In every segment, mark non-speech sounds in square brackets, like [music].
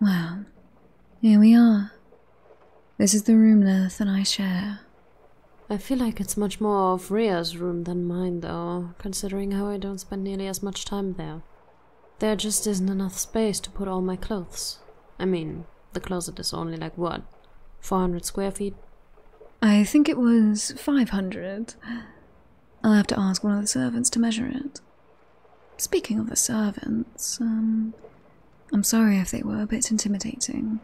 well, here we are. This is the room Lilith and I share. I feel like it's much more of Rhea's room than mine, though, considering how I don't spend nearly as much time there. There just isn't enough space to put all my clothes. I mean, the closet is only like what? 400 square feet? I think it was 500. I'll have to ask one of the servants to measure it. Speaking of the servants, um, I'm sorry if they were a bit intimidating.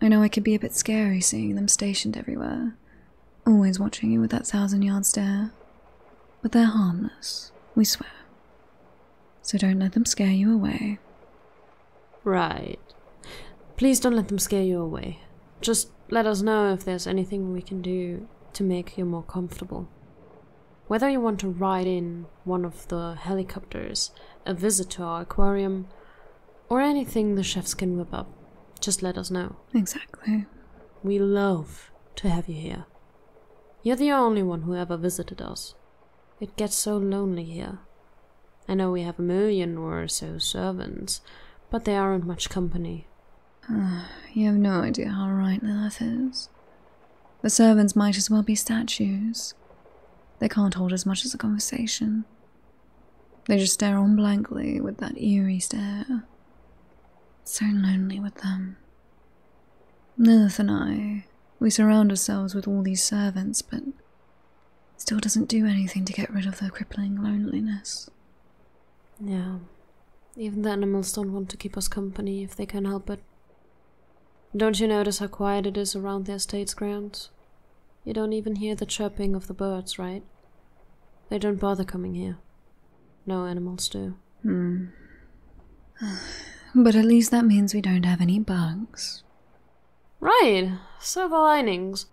I know I could be a bit scary seeing them stationed everywhere, always watching you with that thousand yard stare. But they're harmless, we swear. So don't let them scare you away. Right. Please don't let them scare you away. Just let us know if there's anything we can do to make you more comfortable. Whether you want to ride in one of the helicopters, a visit to our aquarium, or anything the chefs can whip up, just let us know. Exactly. We love to have you here. You're the only one who ever visited us. It gets so lonely here. I know we have a million or so servants, but they aren't much company. Uh, [sighs] you have no idea how right is. The servants might as well be statues. They can't hold as much as a conversation. They just stare on blankly with that eerie stare. So lonely with them. Lilith and I, we surround ourselves with all these servants, but still doesn't do anything to get rid of their crippling loneliness. Yeah. Even the animals don't want to keep us company if they can help it. Don't you notice how quiet it is around the estate's grounds? You don't even hear the chirping of the birds, right? They don't bother coming here. No animals do. Hmm. [sighs] But at least that means we don't have any bugs. Right. Silver linings.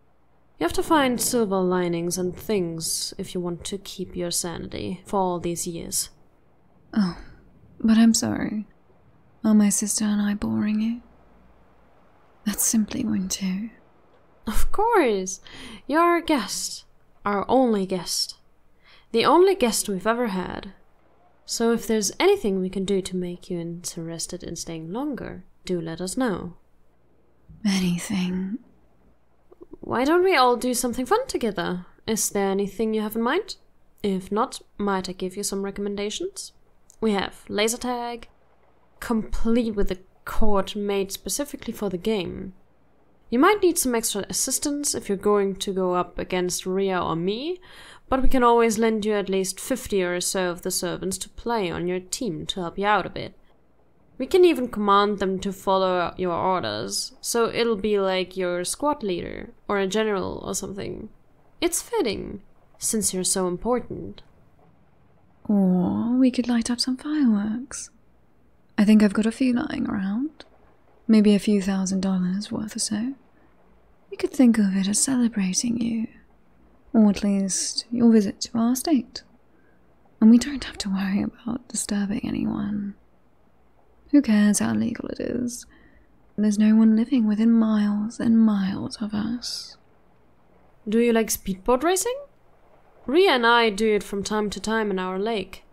You have to find silver linings and things if you want to keep your sanity for all these years. Oh, but I'm sorry. Are my sister and I boring you? That's simply one too. Of course! You're our guest. Our only guest. The only guest we've ever had. So if there's anything we can do to make you interested in staying longer, do let us know. Anything. Why don't we all do something fun together? Is there anything you have in mind? If not, might I give you some recommendations? We have laser tag, complete with a court made specifically for the game. You might need some extra assistance if you're going to go up against Ria or me, but we can always lend you at least 50 or so of the servants to play on your team to help you out a bit. We can even command them to follow your orders, so it'll be like your squad leader or a general or something. It's fitting, since you're so important. Or we could light up some fireworks. I think I've got a few lying around. Maybe a few thousand dollars worth or so. We could think of it as celebrating you, or at least your visit to our state. And we don't have to worry about disturbing anyone. Who cares how legal it is? There's no one living within miles and miles of us. Do you like speedboat racing? Ria and I do it from time to time in our lake.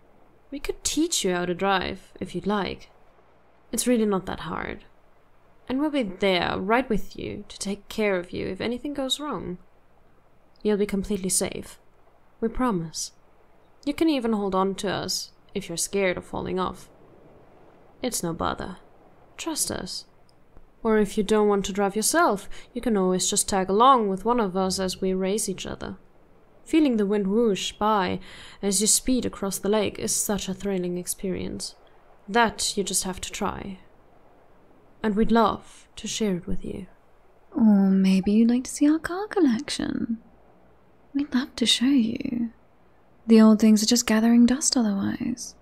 We could teach you how to drive, if you'd like. It's really not that hard. And we'll be there, right with you, to take care of you if anything goes wrong you'll be completely safe. We promise. You can even hold on to us if you're scared of falling off. It's no bother. Trust us. Or if you don't want to drive yourself, you can always just tag along with one of us as we race each other. Feeling the wind whoosh by as you speed across the lake is such a thrilling experience. That you just have to try. And we'd love to share it with you. Or maybe you'd like to see our car collection. We'd love to show you. The old things are just gathering dust otherwise.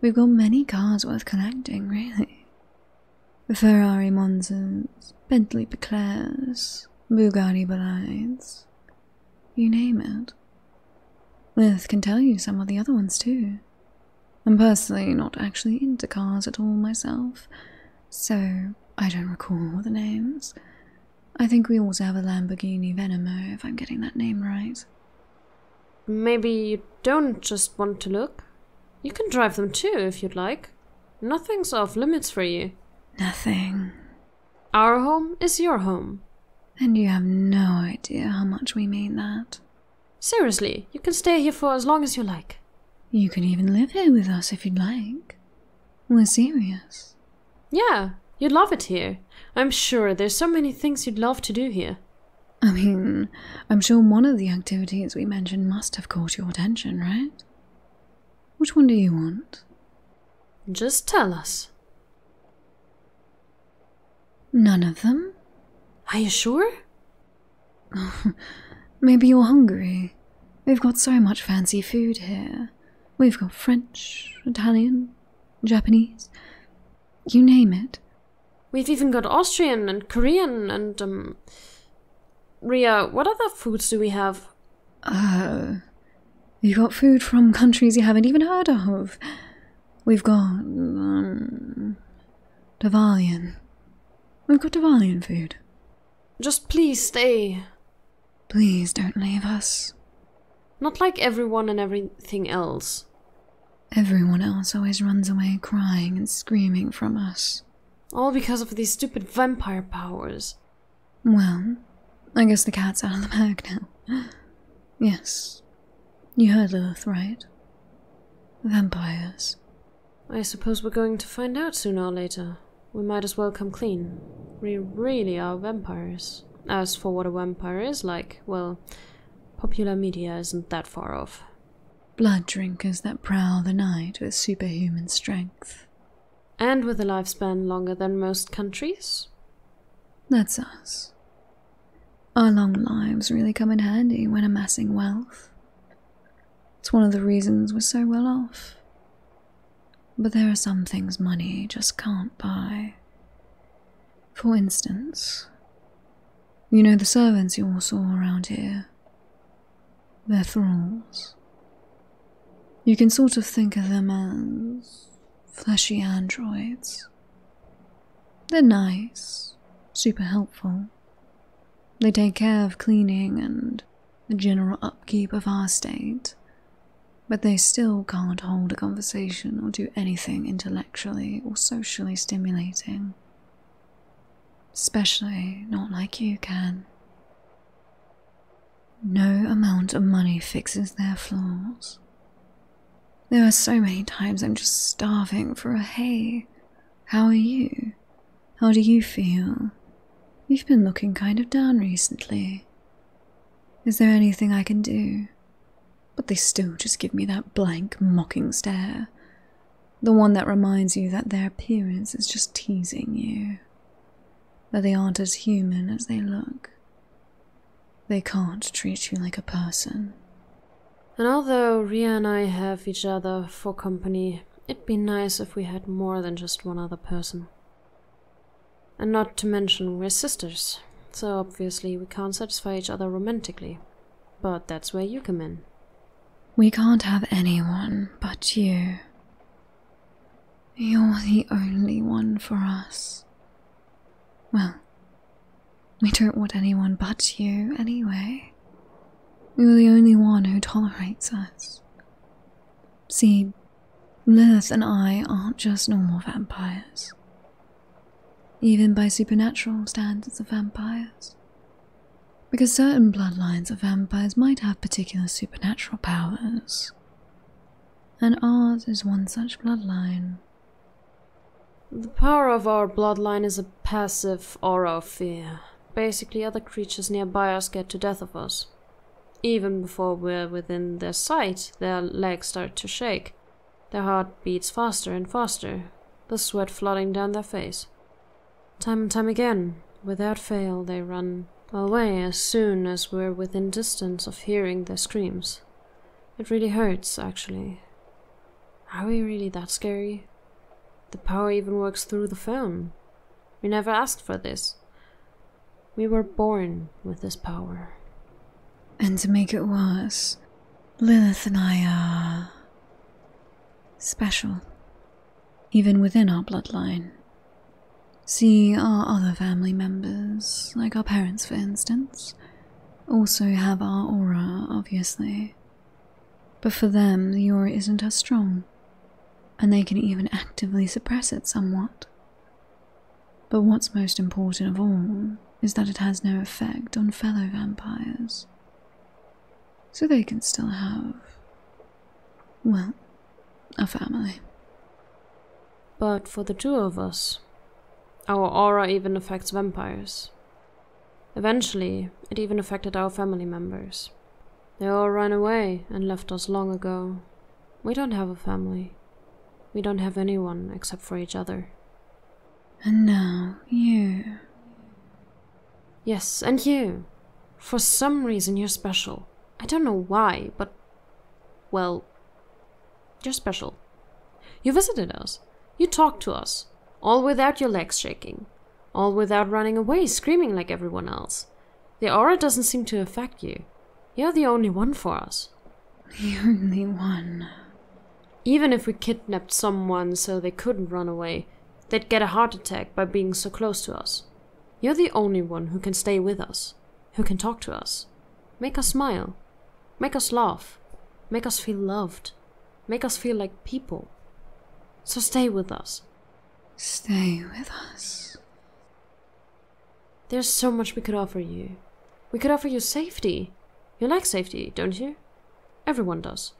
We've got many cars worth collecting, really. Ferrari Monzas, Bentley Peclairs, Bugatti Belides. You name it. Lith can tell you some of the other ones too. I'm personally not actually into cars at all myself, so I don't recall the names. I think we also have a Lamborghini Venomo, if I'm getting that name right. Maybe you don't just want to look? You can drive them too, if you'd like. Nothing's off limits for you. Nothing. Our home is your home. And you have no idea how much we mean that. Seriously, you can stay here for as long as you like. You can even live here with us if you'd like. We're serious. Yeah, you'd love it here. I'm sure there's so many things you'd love to do here. I mean, I'm sure one of the activities we mentioned must have caught your attention, right? Which one do you want? Just tell us. None of them? Are you sure? [laughs] Maybe you're hungry. We've got so much fancy food here. We've got French, Italian, Japanese, you name it. We've even got Austrian and Korean and, um. Ria, what other foods do we have? Oh. Uh, you've got food from countries you haven't even heard of. We've got um Devalian. We've got Devalian food. Just please stay. Please don't leave us. Not like everyone and everything else. Everyone else always runs away crying and screaming from us. All because of these stupid vampire powers. Well, I guess the cat's out of the bag now. [gasps] Yes, you heard Lilith, right? Vampires. I suppose we're going to find out sooner or later. We might as well come clean. We really are vampires. As for what a vampire is like, well, popular media isn't that far off. Blood drinkers that prowl the night with superhuman strength. And with a lifespan longer than most countries? That's us. Our long lives really come in handy when amassing wealth. It's one of the reasons we're so well off. But there are some things money just can't buy. For instance, you know the servants you all saw around here. They're thralls. You can sort of think of them as fleshy androids. They're nice, super helpful. They take care of cleaning and the general upkeep of our state, but they still can't hold a conversation or do anything intellectually or socially stimulating. Especially not like you can. No amount of money fixes their flaws. There are so many times I'm just starving for a hey, how are you? How do you feel? You've been looking kind of down recently. Is there anything I can do? But they still just give me that blank, mocking stare. The one that reminds you that their appearance is just teasing you. That they aren't as human as they look. They can't treat you like a person. And although Ria and I have each other for company, it'd be nice if we had more than just one other person. And not to mention, we're sisters, so obviously we can't satisfy each other romantically. But that's where you come in. We can't have anyone but you. You're the only one for us. Well, we don't want anyone but you, anyway. You're the only one who tolerates us. See, Lilith and I aren't just normal vampires. Even by supernatural standards of vampires. Because certain bloodlines of vampires might have particular supernatural powers. And ours is one such bloodline. The power of our bloodline is a passive aura of fear. Basically, other creatures nearby us get to death of us. Even before we're within their sight, their legs start to shake. Their heart beats faster and faster, the sweat flooding down their face. Time and time again, without fail, they run away as soon as we're within distance of hearing their screams. It really hurts, actually. Are we really that scary? The power even works through the phone. We never asked for this. We were born with this power. And to make it worse, Lilith and I are. special. Even within our bloodline. See, our other family members, like our parents for instance, also have our aura, obviously. But for them, the aura isn't as strong, and they can even actively suppress it somewhat. But what's most important of all is that it has no effect on fellow vampires. So they can still have, well, a family. But for the two of us, our aura even affects vampires. Eventually, it even affected our family members. They all ran away and left us long ago. We don't have a family. We don't have anyone except for each other. And now, you. Yes, and you. For some reason, you're special. I don't know why, but. Well, you're special. You visited us. You talked to us. All without your legs shaking. All without running away screaming like everyone else. The aura doesn't seem to affect you. You're the only one for us. The only one. Even if we kidnapped someone so they couldn't run away, they'd get a heart attack by being so close to us. You're the only one who can stay with us, who can talk to us, make us smile, Make us laugh. Make us feel loved. Make us feel like people. So stay with us. Stay with us. There's so much we could offer you. We could offer you safety. You like safety, don't you? Everyone does.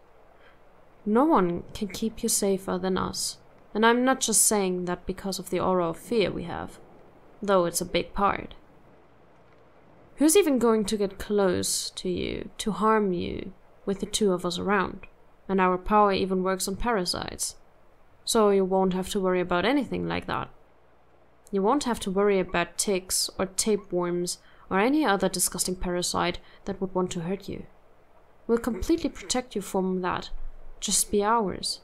No one can keep you safer than us. And I'm not just saying that because of the aura of fear we have, though it's a big part. Who's even going to get close to you, to harm you, with the two of us around? And our power even works on parasites. So you won't have to worry about anything like that. You won't have to worry about ticks or tapeworms or any other disgusting parasite that would want to hurt you. We'll completely protect you from that. Just be ours.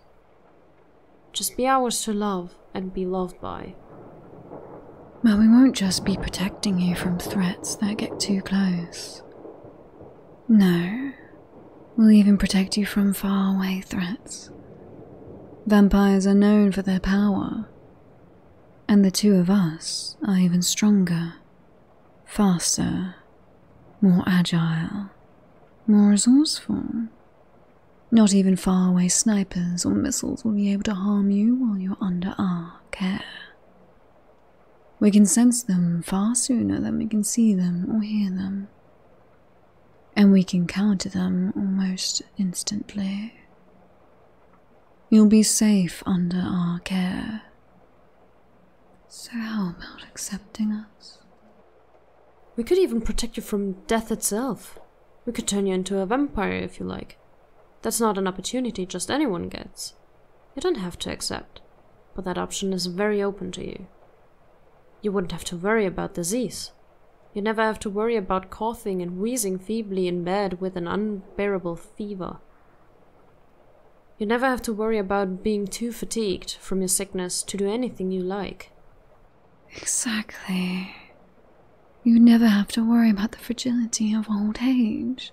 Just be ours to love and be loved by. Well, we won't just be protecting you from threats that get too close. No, we'll even protect you from faraway threats. Vampires are known for their power, and the two of us are even stronger, faster, more agile, more resourceful, not even faraway snipers or missiles will be able to harm you while you're under our care. We can sense them far sooner than we can see them or hear them, and we can counter them almost instantly. You'll be safe under our care. So, how about accepting us? We could even protect you from death itself. We could turn you into a vampire if you like. That's not an opportunity just anyone gets. You don't have to accept, but that option is very open to you. You wouldn't have to worry about disease. You never have to worry about coughing and wheezing feebly in bed with an unbearable fever. You never have to worry about being too fatigued from your sickness to do anything you like. Exactly. You'd never have to worry about the fragility of old age.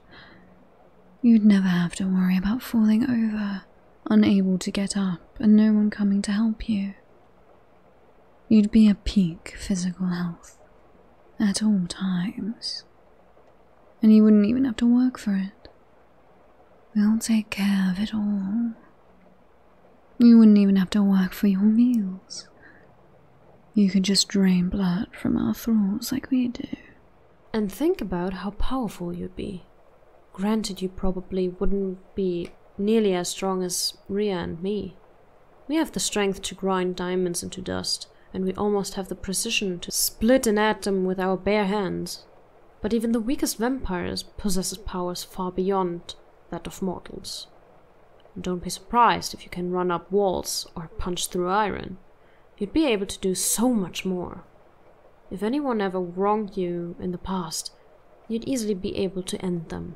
You'd never have to worry about falling over, unable to get up, and no one coming to help you. You'd be at peak physical health at all times, and you wouldn't even have to work for it. We'll take care of it all. You wouldn't even have to work for your meals. You could just drain blood from our throats like we do. And think about how powerful you'd be. Granted, you probably wouldn't be nearly as strong as Ria and me. We have the strength to grind diamonds into dust, and we almost have the precision to split an atom with our bare hands. But even the weakest vampires possesses powers far beyond that of mortals. don't be surprised if you can run up walls or punch through iron. You'd be able to do so much more. If anyone ever wronged you in the past, you'd easily be able to end them.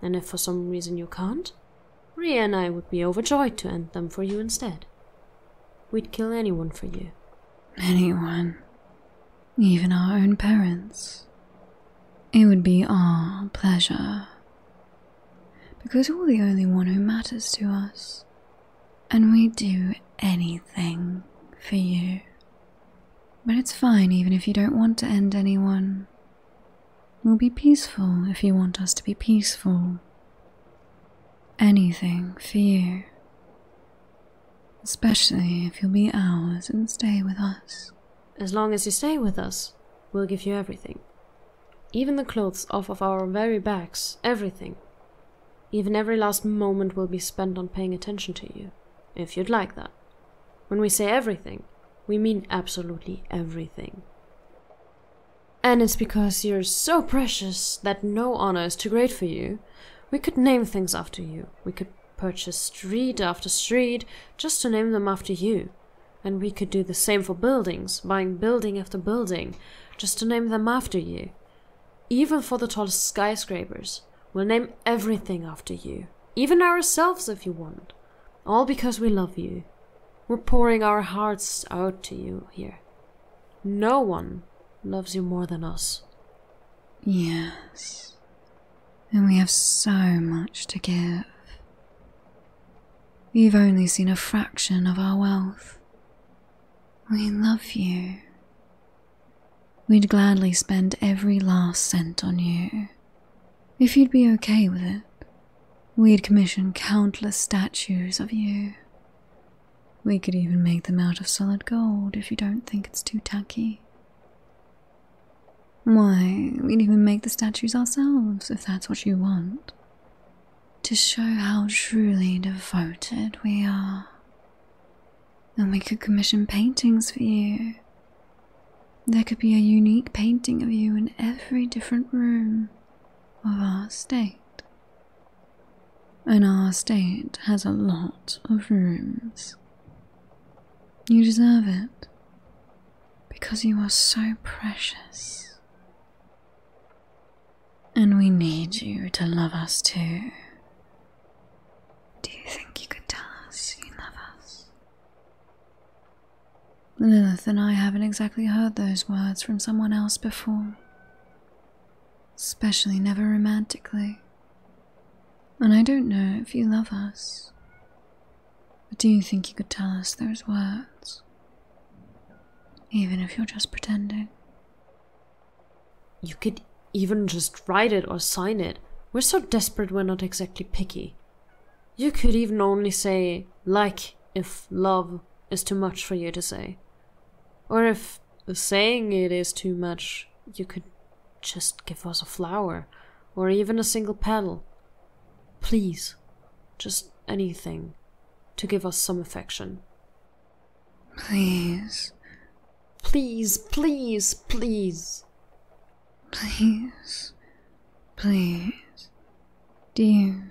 And if for some reason you can't, Ria and I would be overjoyed to end them for you instead. We'd kill anyone for you. Anyone even our own parents. It would be our pleasure. Because you are the only one who matters to us, and we do anything for you. But it's fine even if you don't want to end anyone. We'll be peaceful if you want us to be peaceful. Anything for you. Especially if you'll be ours and stay with us. As long as you stay with us, we'll give you everything. Even the clothes off of our very backs, everything. Even every last moment will be spent on paying attention to you, if you'd like that. When we say everything, we mean absolutely everything. And it's because you're so precious that no honor is too great for you. We could name things after you, we could purchase street after street just to name them after you. And we could do the same for buildings, buying building after building just to name them after you. Even for the tallest skyscrapers, we'll name everything after you, even ourselves if you want. All because we love you. We're pouring our hearts out to you here. No one loves you more than us. Yes, and we have so much to give. You've only seen a fraction of our wealth. We love you. We'd gladly spend every last cent on you. If you'd be okay with it, we'd commission countless statues of you. We could even make them out of solid gold if you don't think it's too tacky. Why, we'd even make the statues ourselves if that's what you want. To show how truly devoted we are. And we could commission paintings for you. There could be a unique painting of you in every different room of our state and our state has a lot of rooms. You deserve it because you are so precious. And we need you to love us too. Do you think you could tell us you love us? Lilith and I haven't exactly heard those words from someone else before especially never romantically. And I don't know if you love us. But do you think you could tell us those words? Even if you're just pretending. You could even just write it or sign it. We're so desperate we're not exactly picky. You could even only say, like, if love is too much for you to say. Or if saying it is too much, you could just give us a flower or even a single petal. Please, just anything to give us some affection. Please. Please, please, please. Please. Please. Do you.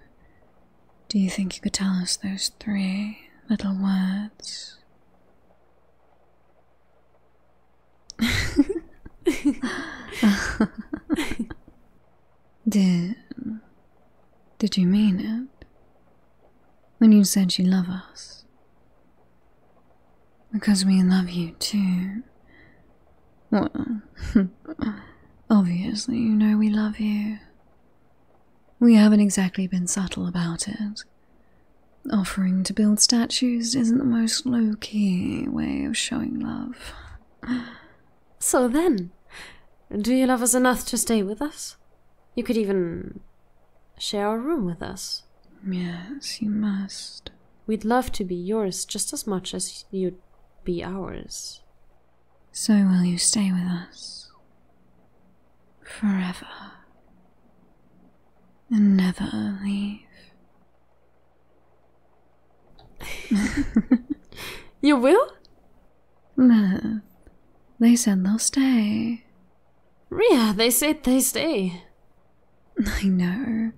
Do you think you could tell us those three little words? [laughs] did did you mean it when you said you love us? Because we love you too. Well, [laughs] obviously, you know we love you. We haven't exactly been subtle about it. Offering to build statues isn't the most low key way of showing love. So then, do you love us enough to stay with us? You could even share a room with us. Yes, you must. We'd love to be yours just as much as you'd be ours. So will you stay with us? forever and never leave. [laughs] you will? No. They said they'll stay. Ria, they said they stay. I know.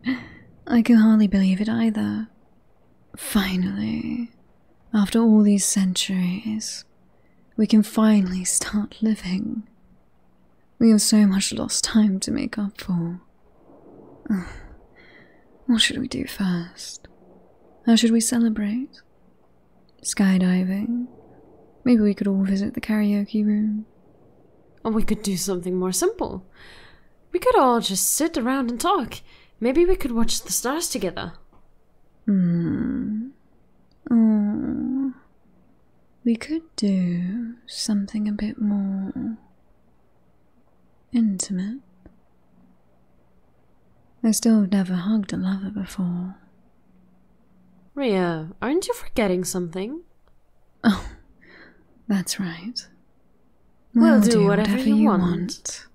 I can hardly believe it either. Finally, after all these centuries we can finally start living. We have so much lost time to make up for. What should we do first? How should we celebrate? Skydiving? Maybe we could all visit the karaoke room. Or we could do something more simple. We could all just sit around and talk. Maybe we could watch the stars together. Hmm. Oh. We could do something a bit more intimate. I still have never hugged a lover before. Ria, aren't you forgetting something? Oh, that's right. We'll, do, whatever, you, want.